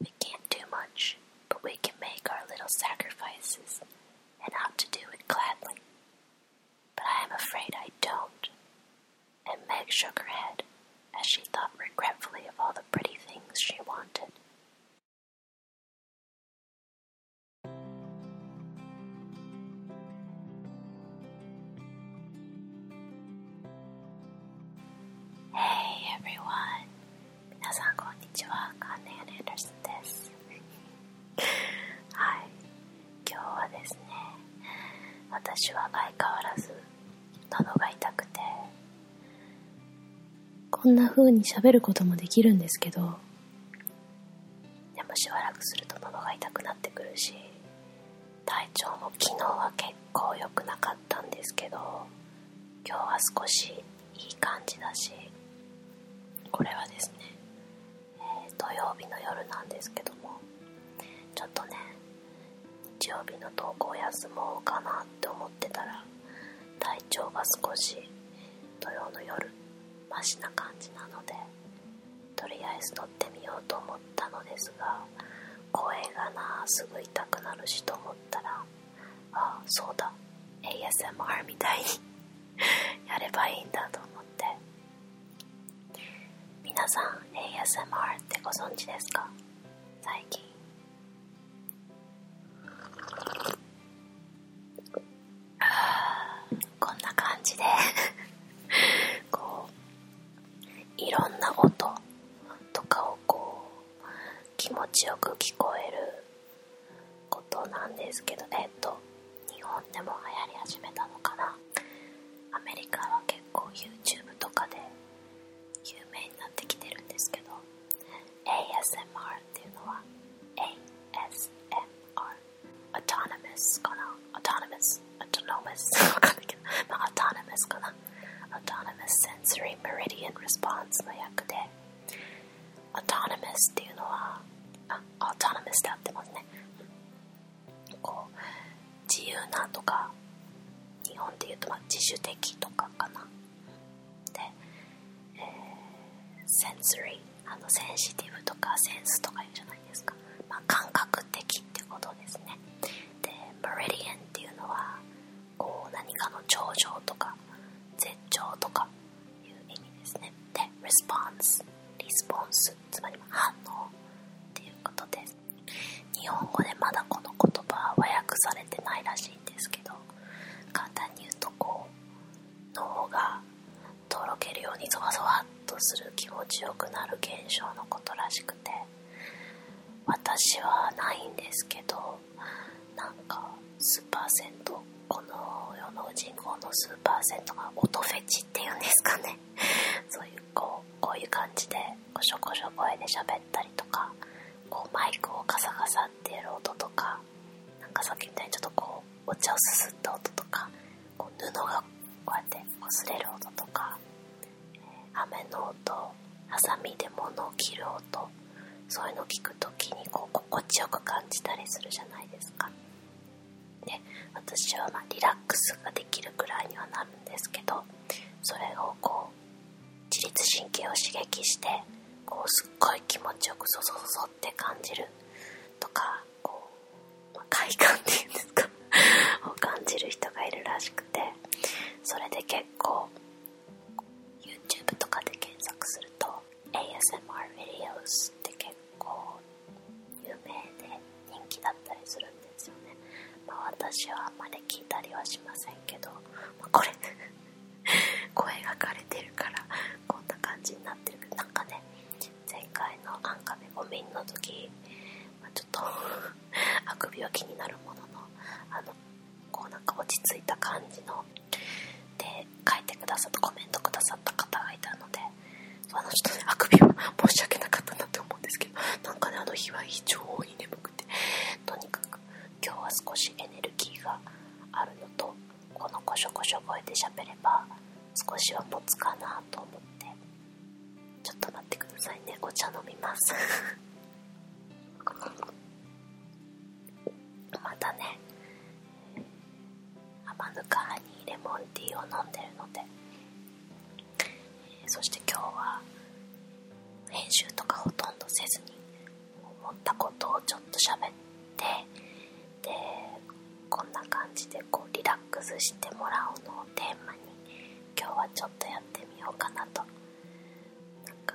We can't do much, but we can make our little sacrifices and ought to do it gladly. But I am afraid I don't. And Meg shook her head as she thought regretfully of all the pretty things she wanted. Hey everyone, 皆さんこんにちは、カーネアです。はい、今日はですね、私は相変わらず喉が痛くて、こんな風にしゃべることもできるんですけど、でもしばらくすると喉が痛くなってくるし、体調も昨日は結構良くなかったんですけど、今日は少しいい感じだしこれはですね、土曜日の夜なんですけどもちょっとね日曜日の投稿休もうかなって思ってたら体調が少し土曜の夜マシな感じなのでとりあえず撮ってみようと思ったのですが声がなすぐ痛くなるしと思ったらあそうだ ASMR みたいに やればいいんだと思ってみなさん ASMR ってご存知ですか最近こんな感じで こういろんな音とかをこう気持ちよく聞こえることなんですけどえっと日本でも流行り始めたのかなアメリカは結構 YouTube とかで有名になってきてるんですけど ASMR っていうのは ASMR ア u t o n o かなア u t o n o m o u s a u わかんないけどまあ a u t o n かな Autonomous Sensory Meridian Response の役で Autonomous っていうのはあ Autonomous で合ってますねこう自由なとか日本で言うとま自主的とかかなで、えー、Sensory あのセンシティブとかセンスとか言うじゃないですか、ま感覚的ってことですねで Meridian っていうのはこう何かの頂上とか絶頂とかいう意味ですねで response リスポンスつまり反応っていうことです日本語でまだこの言葉は訳されてないらしいんですけど簡単に言うとこう脳がとろけるようにゾワゾワっとする気持ちよくなる現象のことらしくて私はないんですけどなんか数パーセントこの世の人口の数パーセントが音フェチっていうんですかね そういうこうこういう感じでこしょこしょ声で喋ったりとかマイクをカサカサってやる音とかなんかさっきみたいにちょっとこうお茶をすすった音とか布がこうやって擦れる音とか雨の音ハサミで物を切る音そういうのを聞くときに心地よく感じたりするじゃないですかで私はリラックスができるくらいにはなるんですけどそれをこう自律神経を刺激してすっごい気持ちよくそそそそって感じるとかこう、快感っていうんですかを感じる人がいるらしくてそれで結構 YouTube とかで検索すると ASMR videos って結構有名で人気だったりするんですよねま私はあんまり聞いたりはしませんけど、まあ、これ 声が枯れてるからこんな感じになってるけどなんかね前回のアンカメゴミンの時、まちょっと あくびは気になるもののあのこうなんか落ち着いた感じので書いてくださったコメントくださった方がいたのであの人ねあくびは申し訳なかったなって思うんですけどなんかねあの日は非常に眠くてとにかく今日は少しエネルギーがあるのとこのコショコショ声で喋れば少しは持つかなと思ってちょっと待ってくださいねお茶飲みますまたね甘ぬかにレモンティーを飲んでるのでそして今日は編集とかほとんどせずに思ったことをちょっと喋ってでこんな感じでこうリラックスしてもらうのをテーマに今日はちょっとやってみようかなとなんか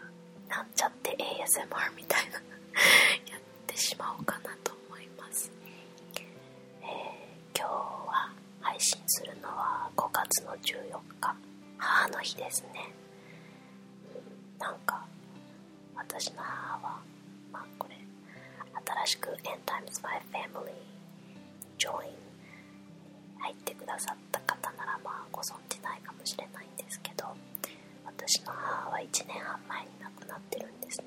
なんちゃって ASMR みたいな やってしまおうかなと思います、え今日は配信するのは5月の14日母の日ですね、うなんか私の母はまあこれ新しく End Times My Family Join 入ってくださった方ならまあご存じないかもしれないんですけど私の母は1年半前に亡くなってるんですね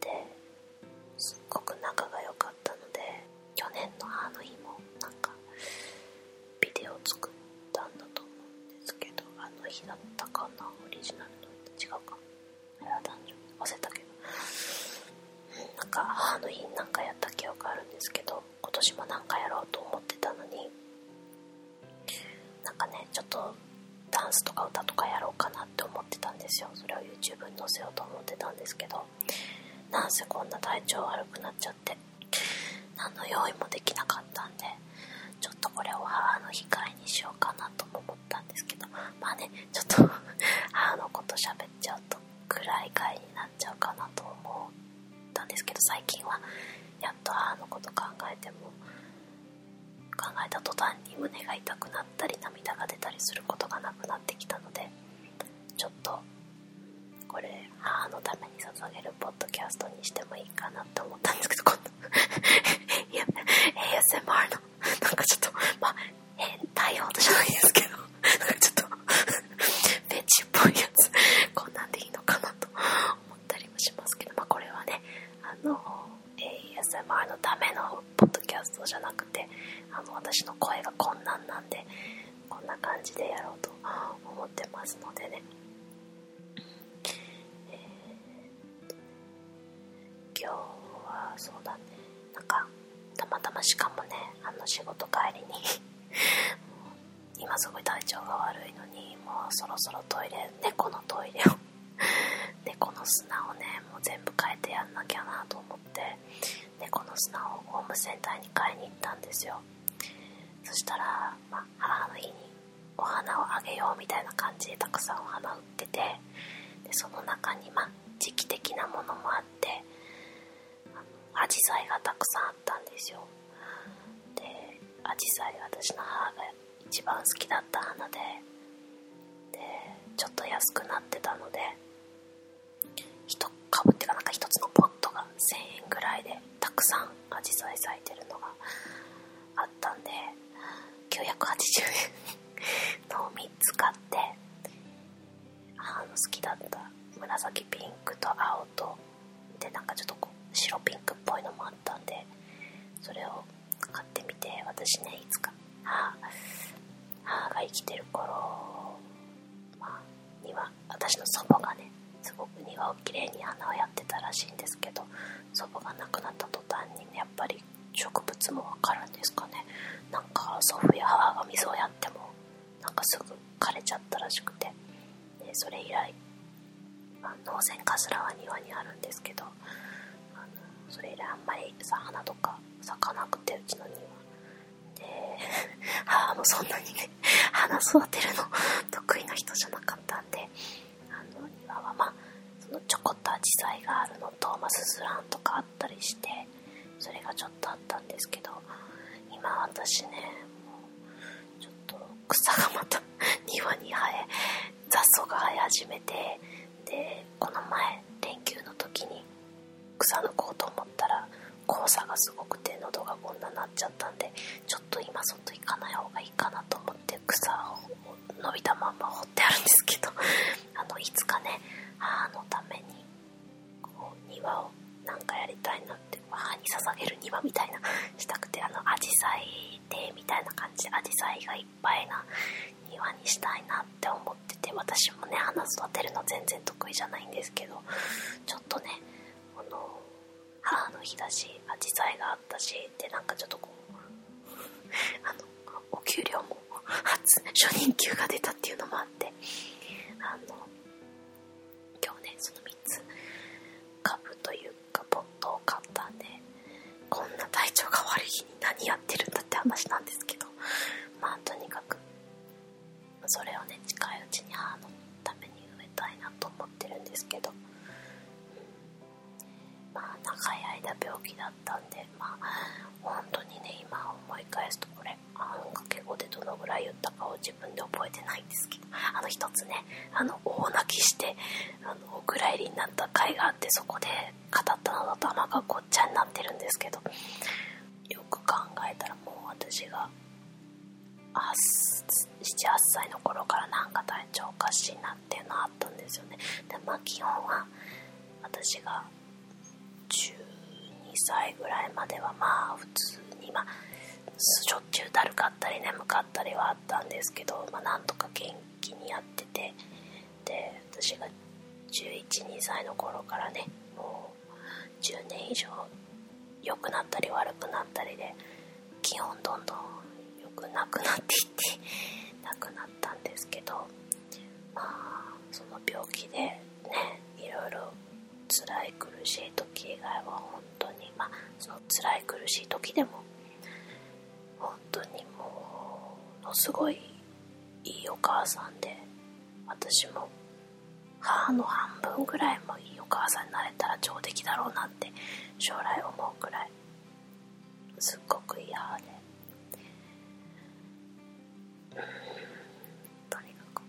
ですっごく仲が良かったので去年の母の日もなんかビデオ作ったんだと思うんですけどあの日だったかなオリジナルの違うかあれは男女わせたけどなんか母の日なんかやった記憶あるんですけど今年もなんかやろうと思ってたのになんかねちょっとダンスとか歌とかやろうかなって思ってたんですよそれを YouTube に載せようと思ってたんですけどなんせこんな体調悪くなっちゃって何の用意もできなかったんでちょっとこれを母の控えにしようかなとも思ったんですけどまあねちょっと母のこと喋っちゃうと暗い回になっちゃうかなと思うたんですけど最近はやっと母のこと考えても考えた途端に胸が痛くなったり涙が出たりすることがなくなってきたのでちょっとこれ母のために捧げるポッドキャストにしてもいいかなって思ったんですけど今度 ASMR のなんかちょっとまあ変態ほどじゃないですけどちょっとベンチっぽいやつこんなんでいいのかなと思ったりもしますけど、まあ、これはねあの ASMR のためのポッドキャストじゃなくてあの私の声がこんなんなんでこんな感じでやろうと思ってますのでね、えー、今日はそうだねなんかたまたましかもねあの仕事帰りに今すごい体調が悪いのにもうそろそろトイレ猫のトイレを 猫の砂をねもう全部変えてやんなきゃなと思って猫の砂をホームセンターに買いに行ったんですよそしたら、まあ、母の日にお花をあげようみたいな感じでたくさんお花売っててでその中にまあ時期的なものもあってアジサイがたくさんあったんですよでアジサイ私の母が一番好きだった花ででちょっと安くなってたので1株っていうかなんか1つのポットが1000円ぐらいでたくさんアジサイ咲いてるのがあったんで980円のを3つ買ってあの好きだった紫ピンクと青とでなんかちょっとこう白ピンクっぽいのもあったんでそれを買ってみて私ねいつか母母が生きてる頃、まあ、庭私の祖母がねすごく庭をきれいに花をやってたらしいんですけど祖母が亡くなった途端にやっぱり植物もわかるんですかねなんか祖父や母が水をやってもなんかすぐ枯れちゃったらしくてでそれ以来、まあ、農船かすらは庭にあるんですけどあのそれ以来あんまりさ花とか咲かなくてうちの庭で母 もそんなにね 花育てるの 得意な人じゃなかったんであの庭はまあそのちょこっと紫陽花があるのと、まあ、スズランとかあったりしてそれがちょっとょったんですけど今私ねもうちょっと草がまた 庭に生え雑草が生え始めてでこの前連休の時に草抜こうと思ったら黄砂がすごくて喉がこんななっちゃったんでちょっと今外行かない方がいいかなと思って草を伸びたまんま掘ってあるんですけどあのいつかね母のためにこう庭をなんかやりたいなって母に捧げる庭みたいな したくてあのアジサイ亭みたいな感じでアジサイがいっぱいな庭にしたいなって思ってて私もね花育てるの全然得意じゃないんですけどちょっとねこの母の日だしアジサイがあったしでなんかちょっとこう あのお給料も初任給が出たっていうのもあってあの今日ねその3つ株というかポットを買ったんでこんな体調が悪い日に何やってるんだって話なんですけどまあとにかくそれをね近いうちに母のために植えたいなと思ってるんですけどまあ長い間病気だったんでまあ本当にね今思い返すとこれれあかけ声でどのぐらい言ったかを自分で覚えてないんですけどあの一つねあの大泣きしてあのお蔵入りになった回があってそこで語ったのだと頭がごっちゃになってるんですけどよく考えたらもう私が78歳の頃からなんか体調おかしいなっていうのあったんですよねでま基本は私が2歳ぐらいまではまあ普通にまあしょっちゅうだるかったり眠かったりはあったんですけど、まあ、なんとか元気にやっててで私が112歳の頃からねもう10年以上良くなったり悪くなったりで気温どんどん良くなくなっていってなくなったんですけどまあその病気でねいろいろ辛い苦しい時以外は本当にまあその辛い苦しい時でも本当にものすごいいいお母さんで私も母の半分ぐらいもいいお母さんになれたら上出来だろうなって将来思うくらいすっごくいい母でとにかく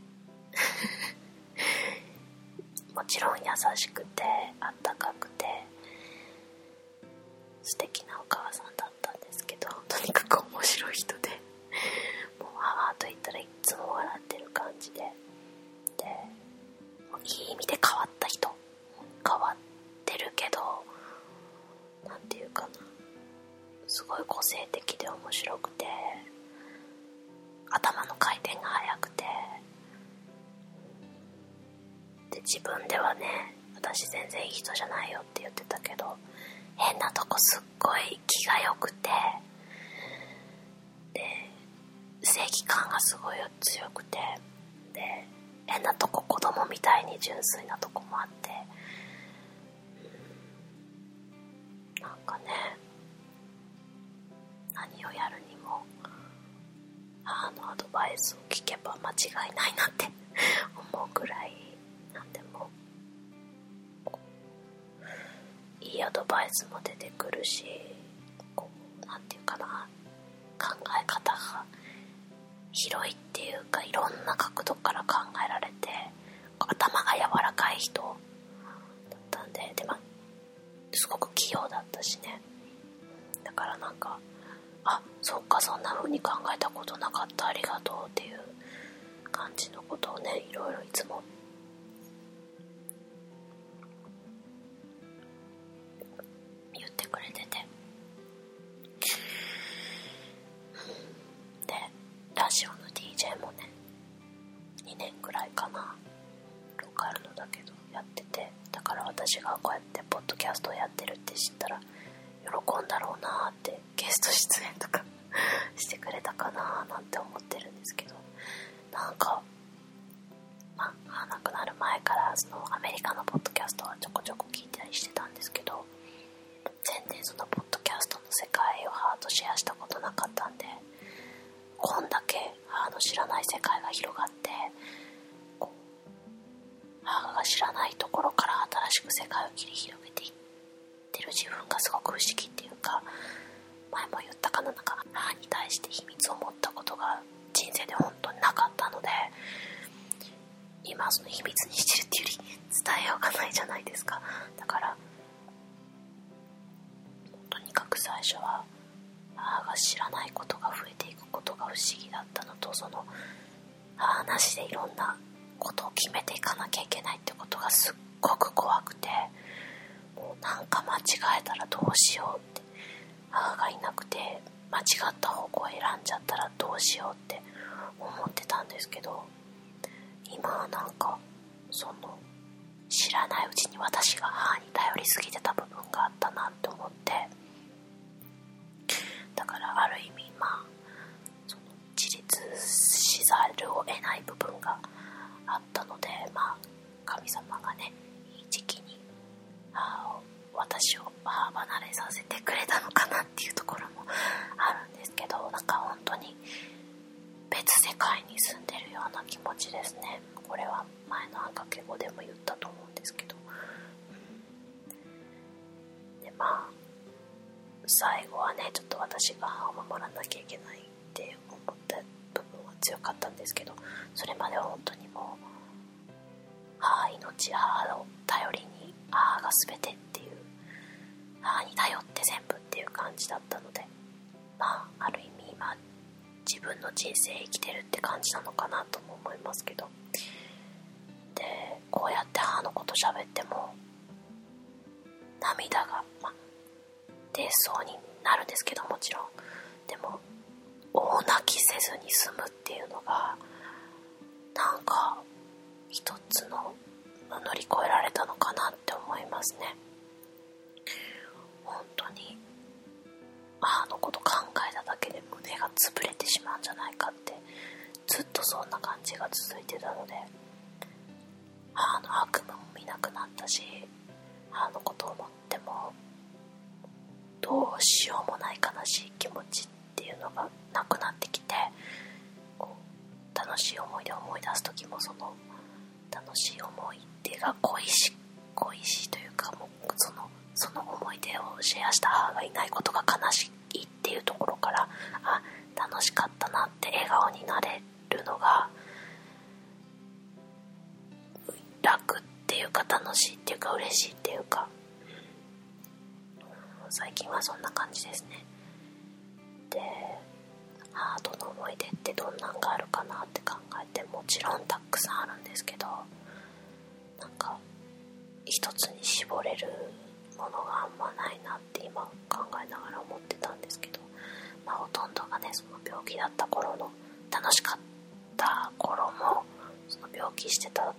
もちろん優しくてあったかくて素敵なお母さんだったんですけどとにかく面白い人でもう母と言ったらいつも笑ってる感じでいい意味で変わった人変わってるけど何て言うかなすごい個性的で面白くて頭の回転が速くてで自分ではね私全然いい人じゃないよって言ってたけど変なとこすっごい気が良くてで正義感がすごい強くてで変なとこ子供みたいに純粋なとこもあってなんかね何をやるにも母のアドバイスを聞けば間違いないなって 思うぐらい何でもいいアドバイスも出てくるしこう何て言うかな考え方が広いっていうかいろんな角度から考えられて頭が柔らかい人だったんででも。すごく器用だったしねだからなんかあそっかそんなふうに考えたことなかったありがとうっていう感じのことをねいろいろいつも言ってくれててでラジオの DJ もね2年ぐらいかなローカルのだけどやっててだから私がこうやってポッドキャストをやってるって知ったら喜んだろうなってゲスト出演とか してくれたかななんて思ってるんですけどなんかまあ亡くなる前からそのアメリカのポッドキャストはちょこちょこ聞いたりしてたんですけど全然そのポッドキャスト世界を母とシェアしたことなかったんでこんだけ母の知らない世界が広がって母が知らないところから新しく世界を切り広げていってる自分がすごく不思議っていうか前も言ったかななんか母に対して秘密を持ったことが人生で本当になかったので今その秘密にしてるっていうより伝えようがないじゃないですかだからとにかく最初は母が知らないことが増えていくことが不思議だったのとその母なしでいろんなことを決めていかなきゃいけないってことがすっごく怖くてもなんか間違えたらどうしようって母がいなくて間違った方向を選んじゃったらどうしようって思ってたんですけど今はなんかその知らないうちに私が母に頼り過ぎてた部分があったなって思ってだからある意味まあその自立しざるを得ない部分があったのでまあ神様がねいい時期に母を私を母離れさせてくれたのかなっていうところもあるんですけどなんか本当に別世界に住んでるような気持ちですねこれは前のあんかけ語でも言ったと思うんですけど、うん、でまあ最後はねちょっと私が母を守らなきゃいけないって思った部分は強かったんですけどそれまでは本当にもう母命母を頼りに母が全てっていう母に頼って全部っていう感じだったのでまある意味今自分の人生生きてるって感じなのかなとも思いますけどでこうやって母のこと喋っても涙がま出そうになるんですけどもちろんでも大泣きせずに済むっていうのがなんか一つの乗り越えられたのかなって思いますね本当に母のこと考えただけで胸が潰れてしまうんじゃないかってずっとそんな感じが続いてたので母の悪夢も見なくなったし母のことを思ってもどうしようもない悲しい気持ちっていうのがなくなってきて楽しい思い出を思い出す時もその楽しい思い出が恋し恋しいというかもうそのその思い出をシェアした母がいないことが悲しいっていうところからあ楽しかったなって笑顔になれるのが楽っていうか楽しいっていうか嬉しいっていうか、最近はそんな感じですねハートの思い出ってどんなんがあるかなって考えてもちろんたくさんあるんですけどなんか一つに絞れるものがあんまないなって今考えながら思ってたんですけど、まあ、ほとんどがねその病気だった頃の楽しかった頃もその病気してた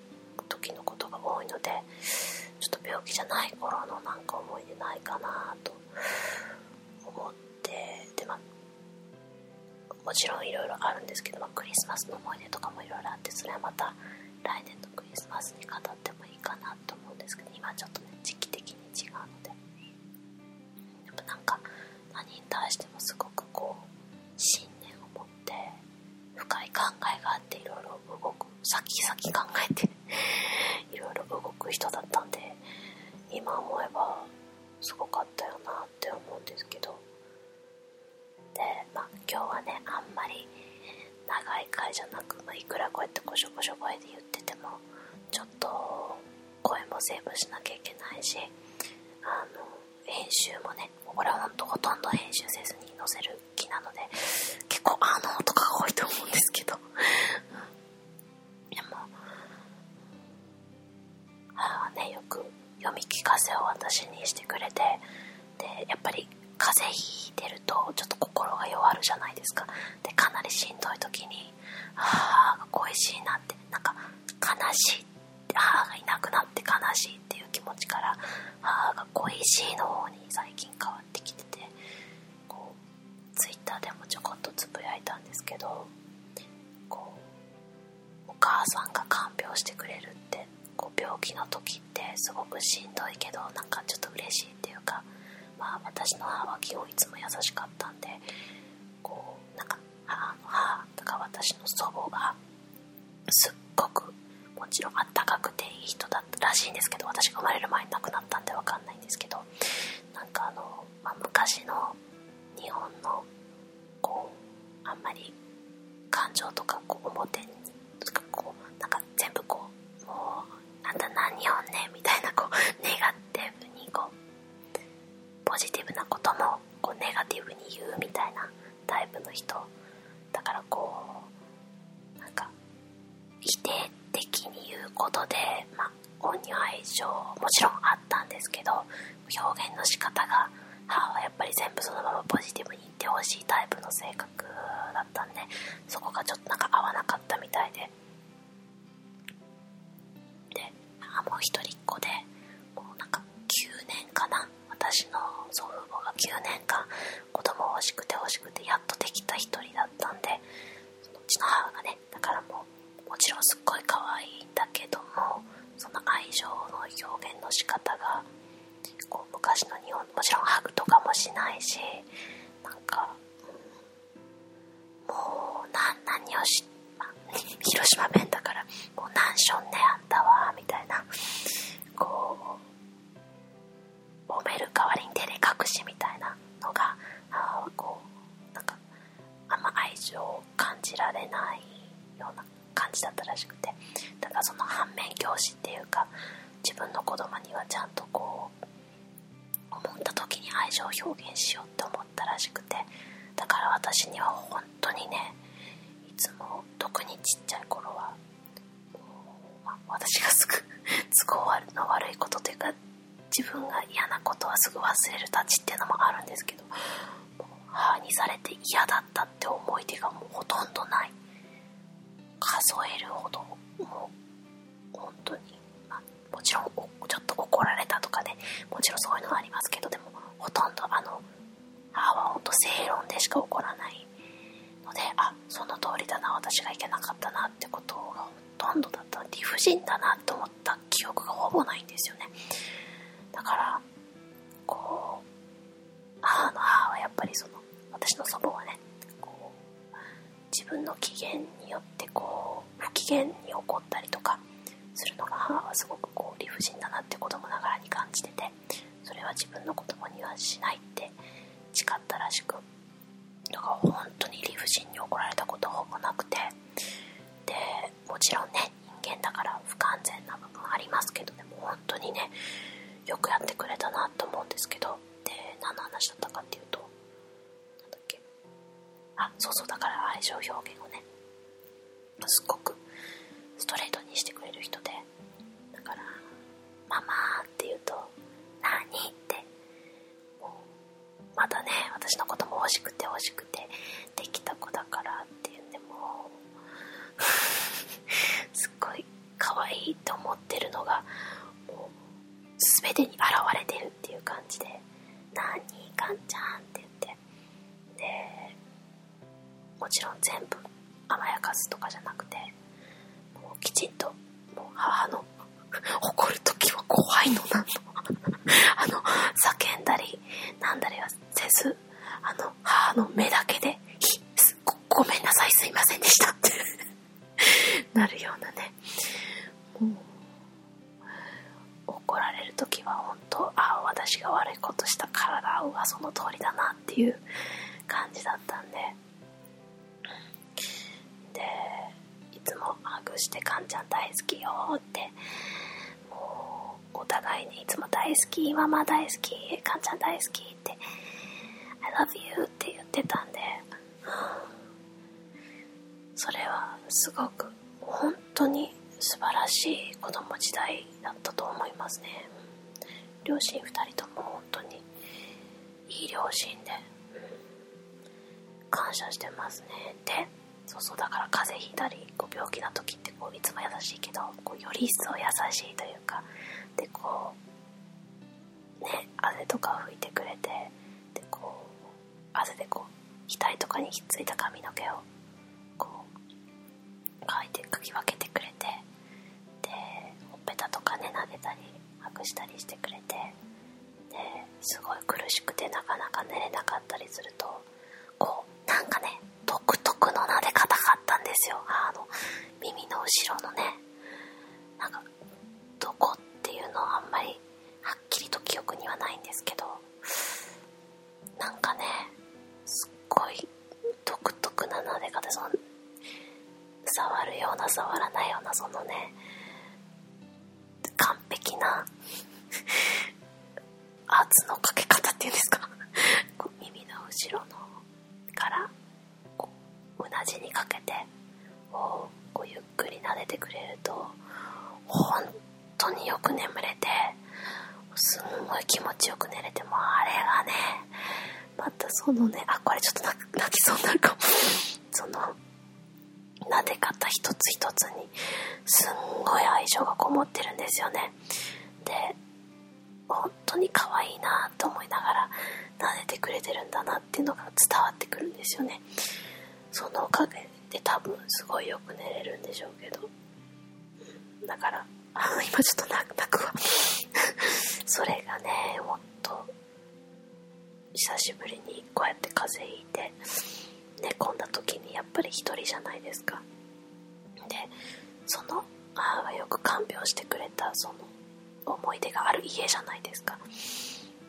時のことが多いのでちょっと病気じゃない頃のなんか思い出ないかなと思ってでまもちろんいろいろあるんですけど、クリスマスの思い出とかもいろいろあってそれはまた来年のクリスマスに語ってもいいかなと思うんですけど今ちょっとね時期的に違うのででもなんか何に対してもすごくこう信念を持って深い考えがあっていろいろ動く先々考えて いろいろ動く人だったんで今思えばすごかったよなって思うんですけどでまあ今日はねあんまり長い回じゃなく、いくらこうやってこしょこしょ声で言っててもちょっと声もセーブしなきゃいけないしあの編集もね俺はほんとほとんど編集せずに載せる気なので結構あの音が多いと思うんですけどでも母はねよく読み聞かせを私にしてくれてでやっぱり風邪ひいてるとちょっと心が弱るじゃないですかでかなりしんどい時に母が恋しいなってなんか悲しいって母がいなくなって悲しいっていう気持ちから母が恋しいの方に最近変わってきててこうツイッターでもちょこっとつぶやいたんですけどお母さんが看病してくれるってこう病気の時ってすごくしんどいけどなんかちょっと嬉しいっていうか、まあ、私の母は基本いつも優しかったんでこうなんか母の母とか私の祖母がすっごくもちろんあったかくていい人だったらしいんですけど私が生まれる前に亡くなったんで分かんないんですけどなんかあの、まあ、昔の日本のこうあんまり感情とかこう表にこうなんか全部こうもうなんた何日本ねみたいなこうネガティブにこうポジティブなこともこうネガティブに言うみたいなタイプの人だからこうなんか否定的に言うことで、まあ、恩に愛情もちろんあったんですけど表現の仕方が母はやっぱり全部そのままポジティブに言ってほしいタイプの性格だったんでそこがちょっとなんか合わなかったみたいでで母も一人っ子でもうなんか9年かな私の祖父母が9年間子供欲しくて欲しくてやっとできた一人だったんでうちの母がねだからもうもちろんすっごい可愛いんだけどもその愛情の表現の仕方がこう昔の日本もちろんハグとかもしないしなんか、もう何をし、ま 広島弁だからもう何しょんねあったわ。みたいなこう褒める代わりに照れ隠しみたいなのがこうなんかあんま愛情を感じられないような感じだったらしくてだからその反面教師っていうか自分の子供にはちゃんとこう思った時に愛情を表現しようって思ったらしくてだから私には本当にねいつも特にちっちゃい頃は、私がすぐ都合の悪いことというか自分が嫌なことはすぐ忘れる立ちっていうのもあるんですけど母にされて嫌だったって思い出がもうほとんどない数えるほどもう本当に、あ、もちろんちょっと怒られたとかでもちろんそういうのはありますけどでもほとんどあの母はほんと正論でしか怒らないのであその通りだな私がいけなかったなってことがとんどだった理不尽だなと思った記憶がほぼないんですよねだからこう母の母はやっぱりその私の祖母はねこう自分の機嫌によってこう不機嫌に起こったりとかするのが母はすごくこう理不尽だなって子供ながらに感じててそれは自分の子供にはしないって誓ったらしくだから本当に理不尽に怒られたことほぼなくてでもちろんね人間だから不完全な部分ありますけどでも本当にねよくやってくれたなと思うんですけどで何の話だったかっていうと何だっけあそうそうだから愛情表現をねすっごくストレートにしてくれる人でだから「ママ」って言うと「何?」ってもうまだね、私のことも欲しくて欲しくてできた子だからって言ってもう すっごい可愛いと思ってるのが、もう全てに現れてるっていう感じで、何に、かんちゃんって言って、で、もちろん全部甘やかすとかじゃなくて、もうきちんと、もう母の怒るときは怖いのなと。あの叫んだりなんだりはせずあの母の目だけでごごめんなさいすいませんでしたってなるようなね怒られる時は本当ああ私が悪いことしたからだはその通りだなっていう感じだったんででいつもハグして「かんちゃん大好きよ」ってお互いにいつも「大好きママ大好きかんちゃん大好き」って「I love you」って言ってたんでそれはすごく本当に素晴らしい子供時代だったと思いますね両親2人とも本当にいい両親で、感謝してますねでそうそうだから風邪ひいたりこう病気な時ってこういつも優しいけどこうより一層優しいというかでこうね汗とかを拭いてくれてでこう汗でこう額とかにひっついた髪の毛をこう描いてかき分けてくれてでほっぺたとかね撫でたりハしたりしてくれてですごい苦しくてなかなか寝れなかったりするとこうなんかね独特の撫で方がったんですよあの耳の後ろのねなんかどこっていうのはあんまりはっきりと記憶にはないんですけどなんかねすっごい独特な撫で方その触るような触らないようなそのね完璧な圧のかけ方っていうんですか耳の後ろのからこうなじにかけてこうゆっくり撫でてくれると本当によく眠れてすんごい気持ちよく寝れてもあれがねまたそのねあこれちょっと泣きそうになるかもその撫で方一つ一つにすんごい愛情がこもってるんですよねで本当に可愛いなと思いながら撫でてくれてるんだなっていうのが伝わってくるんですよねそのおかげで多分すごいよく寝れるんでしょうけどだから今ちょっと泣くわ それがねもっと久しぶりにこうやって風邪ひいて寝込んだ時にやっぱり1人じゃないですかでその母がよく看病してくれたその思い出がある家じゃないですか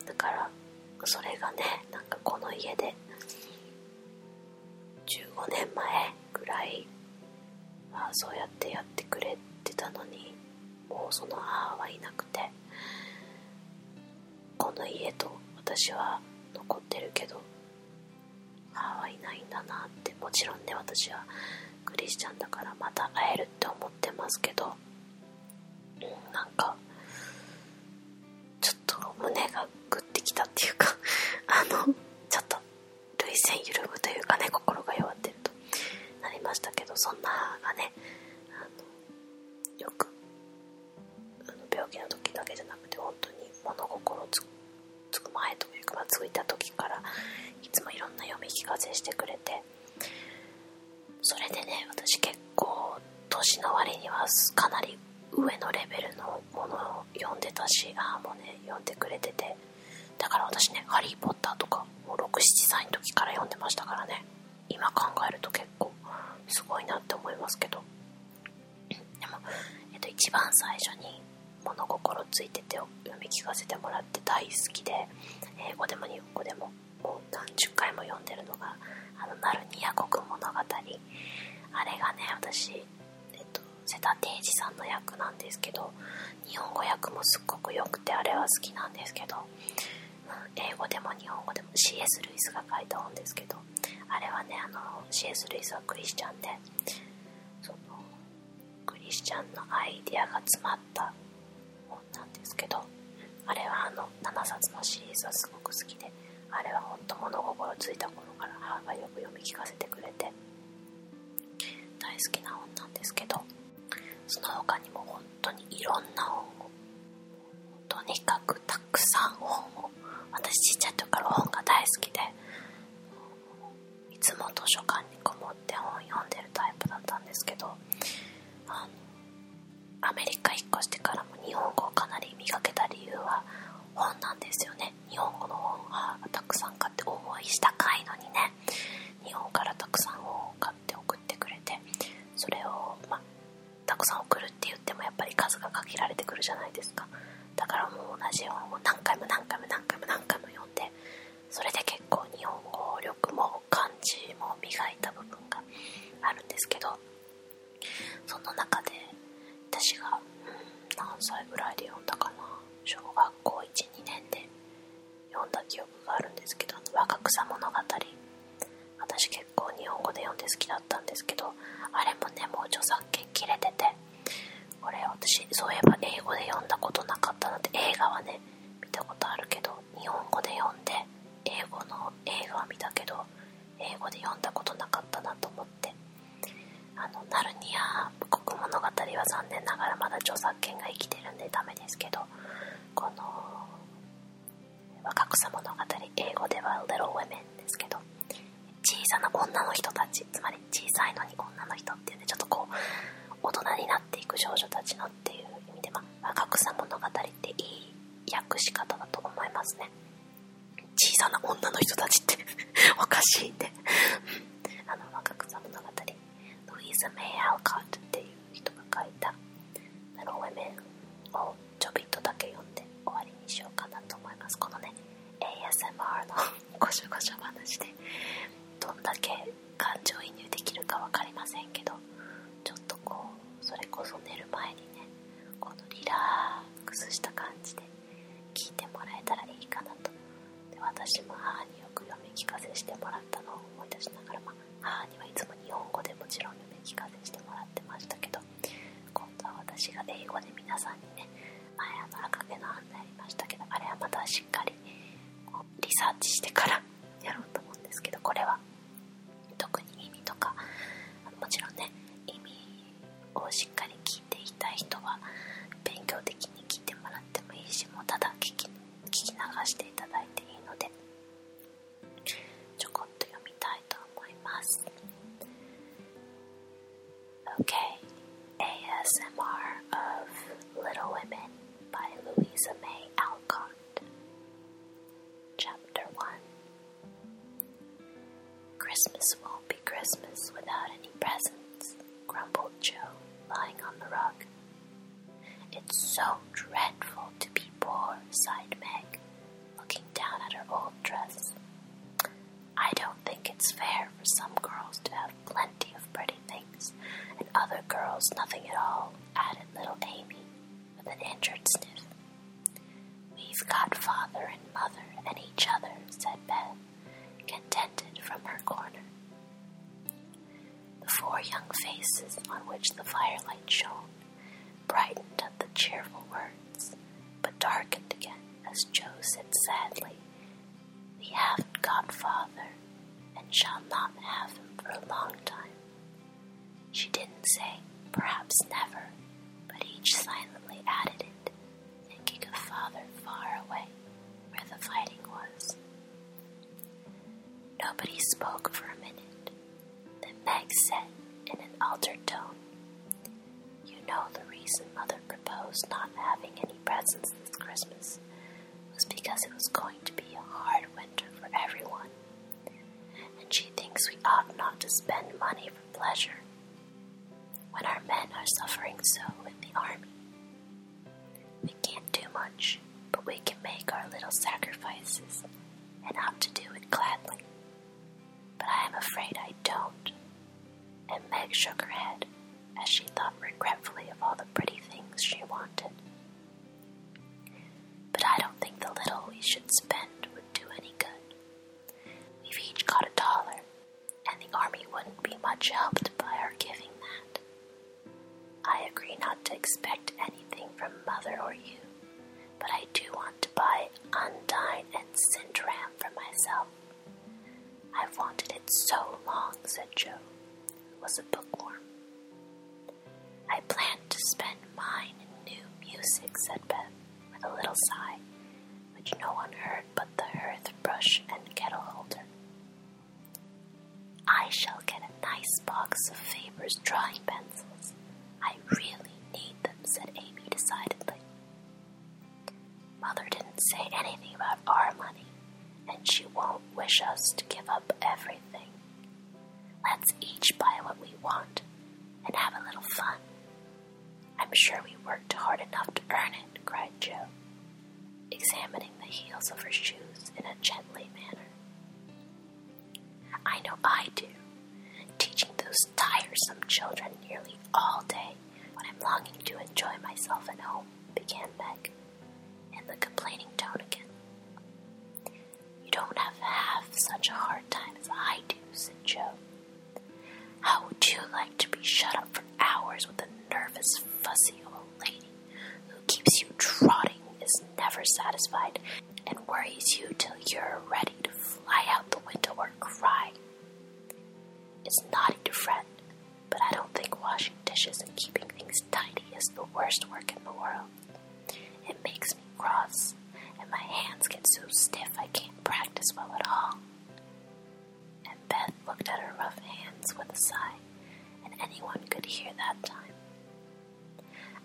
だからそれがねなんかこの家で15年前ぐらいはそうやってやってくれてたのにもうその母はいなくてこの家と私は残ってるけど母はいないんだなってもちろんね私はクリスチャンだからまた会えるって思ってますけどなんかちょっと胸がグッてきたっていうか あのちょっと涙腺緩むというかね心が弱ってるとなりましたけどそんな母がねよくあの病気の時だけじゃなくて本当に物心つく前というか、まついた時からいつもいろんな読み聞かせしてくれてそれでね私結構年の割にはかなり上のレベルのものを読んでたしああもね読んでくれててだから私ね「ハリー・ポッター」とかもう67歳の時から読んでましたからね今考えると結構すごいなって思いますけどでも、えっと、一番最初に「物心ついてて」読み聞かせてもらって大好きで英語でも日本語でももう何十回も読んでるのが「あのナルニア国物語」あれがね私瀬田定治さんの役なんですけど日本語訳もすっごくよくてあれは好きなんですけど英語でも日本語でも C.S. ルイスが書いた本ですけどあれはねあの C.S. ルイスはクリスチャンでそのクリスチャンのアイデアが詰まった本なんですけどあれはあの7冊のシリーズはすごく好きであれはほんと物心ついた頃から母がよく読み聞かせてくれて大好きな本なんですけどその他にも本当にいろんな本をとにかくたくさん本を私ちっちゃい時から本が大好きでいつも図書館にこもって本読んでるタイプだったんですけどあのアメリカ引っ越してからも日本語をかなり磨けた理由は本なんですよね日本語の本がたくさん買って応いしたかいのにね日本からたくさん本を買送ってくれてそれを、まあ、たくさん送るって言ってもやっぱり数が限られてくるじゃないですかだからもう同じ本を何回も何回も何回も何回も読んでそれで結構日本語力も漢字も磨いた部分があるんですけどその中で私が、何歳ぐらいで読んだかな小学校12年で読んだ記憶があるんですけど「若草物語」私結構日本語で読んで好きだったんですけどあれもねもう著作権切れててこれ私そういえば英語で読んだことなかったので映画はね見たことあるけど日本語で読んで英語の映画は見たけど英語で読んだことなかったなと思ってあのナルニア国物語は残念ながらまだ著作権が生きてるんでダメですけどこの若草物語英語では Little Women ですけど小さな女の人たちつまり小さいのに女の人っていうねちょっとこう大人になっていく少女たちのっていう意味で、ま若草物語っていい訳し方だと思いますね小さな女の人たちって おかしいってあの若草物語ルイーズ・メイ・アルカートっていう人が書いたなるほど面をちょびっとだけ読んで終わりにしようかなと思いますこのね ASMR のごしょごしょ話でどんだけ感情移入できるか分かりませんけどちょっとこうそれこそ寝る前にねこのリラックスした感じで聞いてもらえたらいいかなとで私も母によく読み聞かせしてもらったのを思い出しながらまあ母にはいつも日本語でもちろん読み聞かせしてもらってましたけど今度は私が英語で皆さんにね前あの赤毛の案内ありましたけどあれはまたしっかりリサーチしてからやろうと思うんですけどこれは特に意味とかもちろんね意味をしっかり聞いていたい人は勉強的に聞いてもらってもいいしもうただ聞き聞き流していただいていいのでちょこっと読みたいと思います Okay, ASMR of Little Women by Louisa May Alcott Chapter 1 Christmas won't be Christmas without any presents, grumbled Joe, lying on the rug. It's so dreadful to be poor, sighed Meg, looking down at her old dress. I don't think it's fair for some girls to have plenty of pretty things and other girls nothing at all, added little Amy with an injured sniff. We've got father and mother and each other, said Beth, contented from her corner. The four young faces on which the firelight shone brightened at the cheerful words, but darkened again as Joe said sadly, We haven't got father, and shall not have him for a long time. She didn't say, perhaps never, but each silently added it, thinking of father far away, where the fighting was. Nobody spoke for a minute, then Meg said in an altered tone, You know the reason Mother proposed not having any presents this Christmas was because it was going to be a hard winter for everyone, and she thinks we ought not to spend money for pleasure when our men are suffering so in the army. We can't do much, but we can make our little sacrifices and ought to do it gladly. But I am afraid I don't. And Meg shook her head as she thought regretfully of all the pretty things she wanted. But I don't think the little we should spend would do any good. We've each got a dollar, and the army wouldn't be much helped by our giving that. I agree not to expect anything from mother or you, but I do want to buy Undine and Sintram for myself. I've wanted it so long, said Joe, who was a bookworm. I plan to spend mine in new music, said Beth, with a little sigh, which no one heard but the hearth brush and kettle holder. I shall get nice box of Faber's drawing pencils. I really need them, said Amy decidedly. Mother didn't say anything about our money, and she won't wish us to give up everything. Let's each buy what we want and have a little fun. I'm sure we worked hard enough to earn it, cried Jo, examining the heels of her shoes in a gentle manner. I know I do, teaching those tiresome children nearly all day when I'm longing to enjoy myself at home, began Meg, in the complaining tone again. You don't have half such a hard time as I do, said Joe. How would you like to be shut up for hours with a nervous, fussy old lady who keeps you trotting, is never satisfied, and worries you till you're ready to fly out the window or cry. It's naughty to fret, but I don't think washing dishes and keeping things tidy is the worst work in the world. It makes me cross, and my hands get so stiff I can't practice well at all. And Beth looked at her rough hands with a sigh, and anyone could hear that time.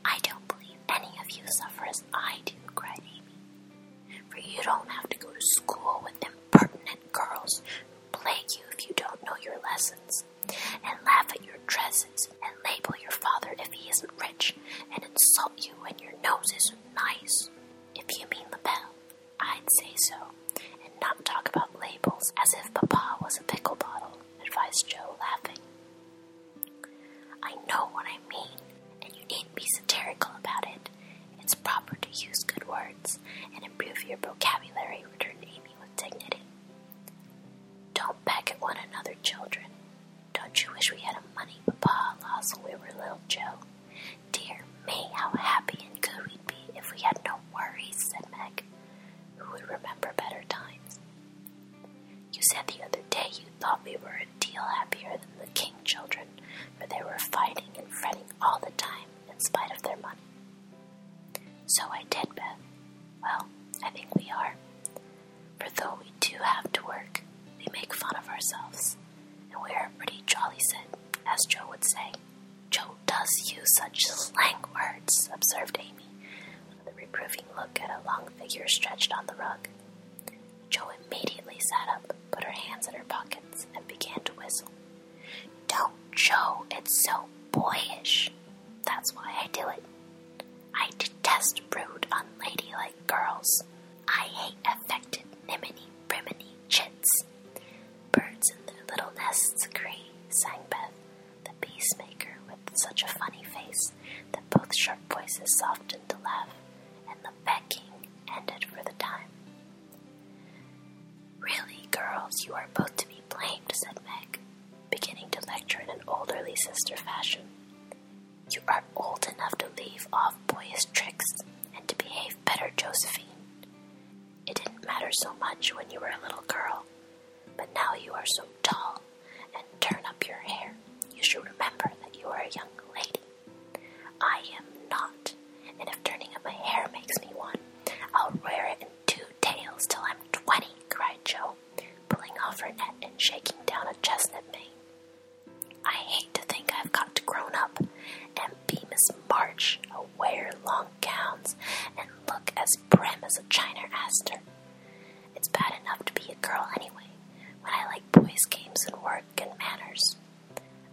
I don't believe any of you suffer as I do, cried Amy. For you don't have to go to school with impertinent girls who plague you if you don't know your lessons, and laugh at your dresses, and label your father if he isn't rich, and insult you when your nose is nice. If you mean the bell, I'd say so, and not talk about labels as if Papa was a pickle bottle, advised Joe, laughing. I know what I mean, and you needn't be satirical about it. It's proper to use good words and improve your vocabulary, returned Amy with dignity. Don't peck at one another, children. Don't you wish we had a money Papa lost when we were little, Joe? Dear me, how happy and good we'd be if we had no worries, said Meg, who would remember better times. You said the other day you thought we were a deal happier than the King children, for they were fighting and fretting all the time in spite of their money. So I did, Beth. Well, I think we are. For though we do have to work, we make fun of ourselves, and we are a pretty jolly set, as Joe would say. Joe does use such slang words, observed Amy, with reproving look at a long figure stretched on the rug. Joe immediately sat up, put her hands in her pockets, and began to whistle. Don't, Joe, it's so boyish. That's why I do it. I detest rude, unladylike girls. I hate affected niminy, briminy chits. Birds in their little nests agree, sang Beth, the peacemaker with such a funny face that both sharp voices softened to laugh, and the becking ended for the time. Really, girls, you are both to be blamed, said Meg, beginning to lecture in an olderly sister fashion. You are old enough to leave off boyish tricks and to behave better, Josephine. It didn't matter so much when you were a little girl, but now you are so tall and turn up your hair. You should remember that you are a young lady. I am not, and if turning up my hair makes me one, I'll wear it in two tails till I'm twenty, cried Jo, pulling off her net and shaking down a chestnut mane. I hate to think I've got to grown up and be Miss March, i wear long gowns and look as prim as a china aster. It's bad enough to be a girl anyway, when I like boys' games and work and manners.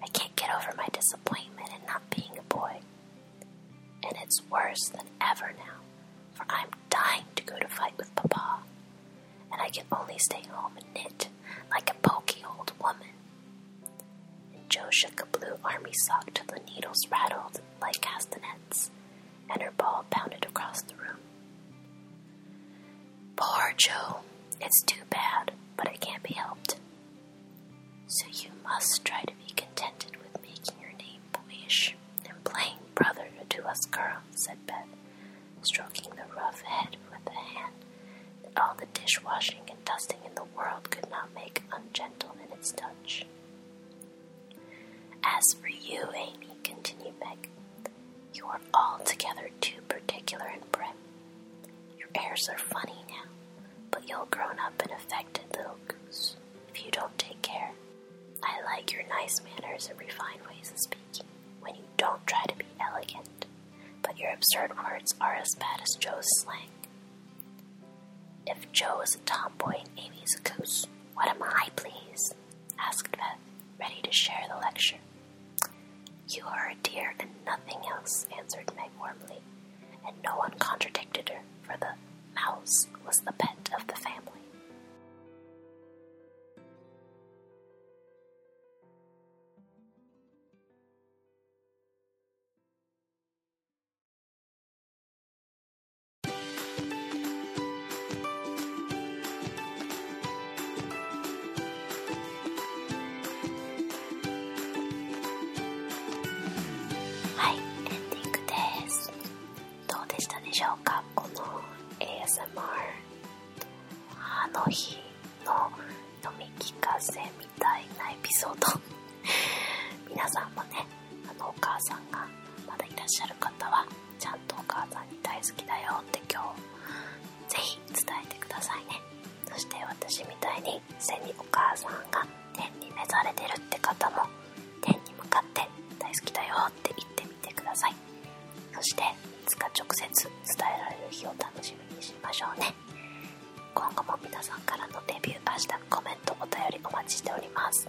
I can't get over my disappointment in not being a boy. And it's worse than ever now, for I'm dying to go to fight with Papa, and I can only stay home and knit like a pokey old woman. And Joe shook a blue army sock till the needles rattled like castanets, and her ball pounded across the room. Poor Joe. It's too bad, but it can't be helped. So you must try to be contented with making your name boyish and playing brother to us girls," said Bet, stroking the rough head with a hand that all the dishwashing and dusting in the world could not make ungentle in its touch. As for you, Amy, continued Meg, you are altogether too particular and prim. Your airs are funny now, but you'll grow up an affected little goose if you don't take care. I like your nice manners and refined ways of speaking when you don't try to be elegant, but your absurd words are as bad as Joe's slang. If Joe is a tomboy Amy is a goose, what am I, please? asked Beth, ready to share the lecture. You are a dear and nothing else, answered Meg warmly, and no one contradicted her, for the mouse was the pet of the family. はい、エンディングです。どうでしたでしょうかこの ASMR あの日の飲み聞かせみたいなエピソード皆さんもねお母さんがまだいらっしゃる方はちゃんとお母さんに大好きだよって今日ぜひ伝えてくださいねそして私みたいに背にお母さんが天に召されてるって方も天に向かって大好きだよって言ってみてくださいそしていつか直接伝えられる日を楽しみにしましょうね今後も皆さんからのレビュー明日コメントお便りお待ちしております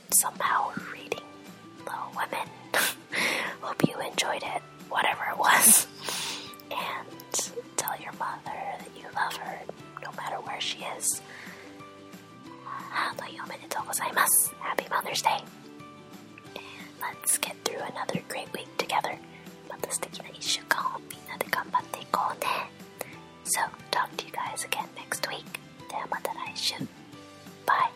somehow reading The Women. Hope you enjoyed it, whatever it was. and tell your mother that you love her no matter where she is. Happy Mother's Day. And let's get through another great week together. また素敵な1週間をみんなで頑張っていこうね。So, talk to you guys again next week. ではまた来週バイ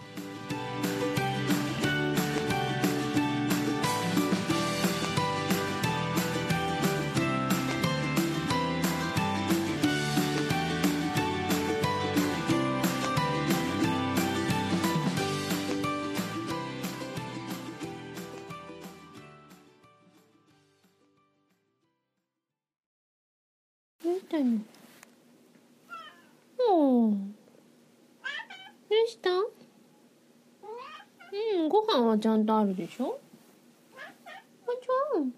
どうしたのおどうしたうん、ご飯はちゃんとあるでしょおちゃん。なに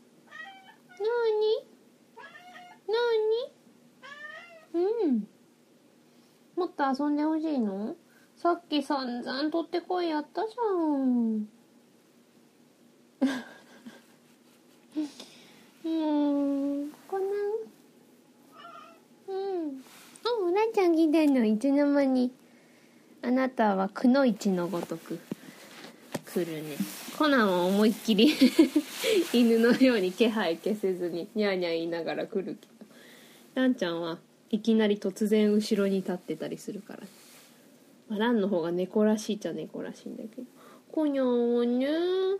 なにうん。もっと遊んでほしいのさっき散々取ってこいやったじゃん。うんこんなうんあおらちゃんみたいのいつの間にあなたはくの一のごとく来るねコナンは思いっきり 犬のように気配消せずにニャーニャー言いながら来るけどランちゃんはいきなり突然後ろに立ってたりするから、ね、まあ、ランの方が猫らしいっちゃ猫らしいんだけど「こにゃーねー」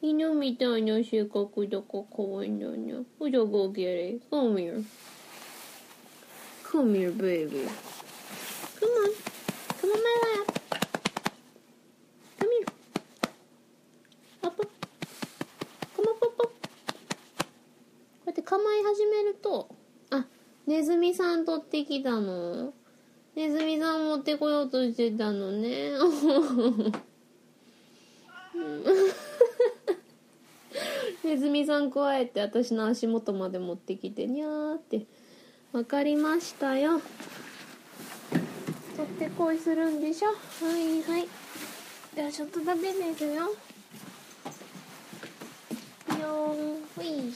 犬みたいな性格だから可愛いんだよね。おじゃごげれ。Come here. Come here, baby. Come on. Come on my lap. Come here. Up up. Come up up up. こうやって構い始めると、あ、ネズミさん取ってきたのネズミさん持ってこようとしてたのね。ネズミさん加えて私の足元まで持ってきてにゃって。わかりましたよ。とってこいするんでしょはいはい。ではちょっとだけですよ。よん、ほい。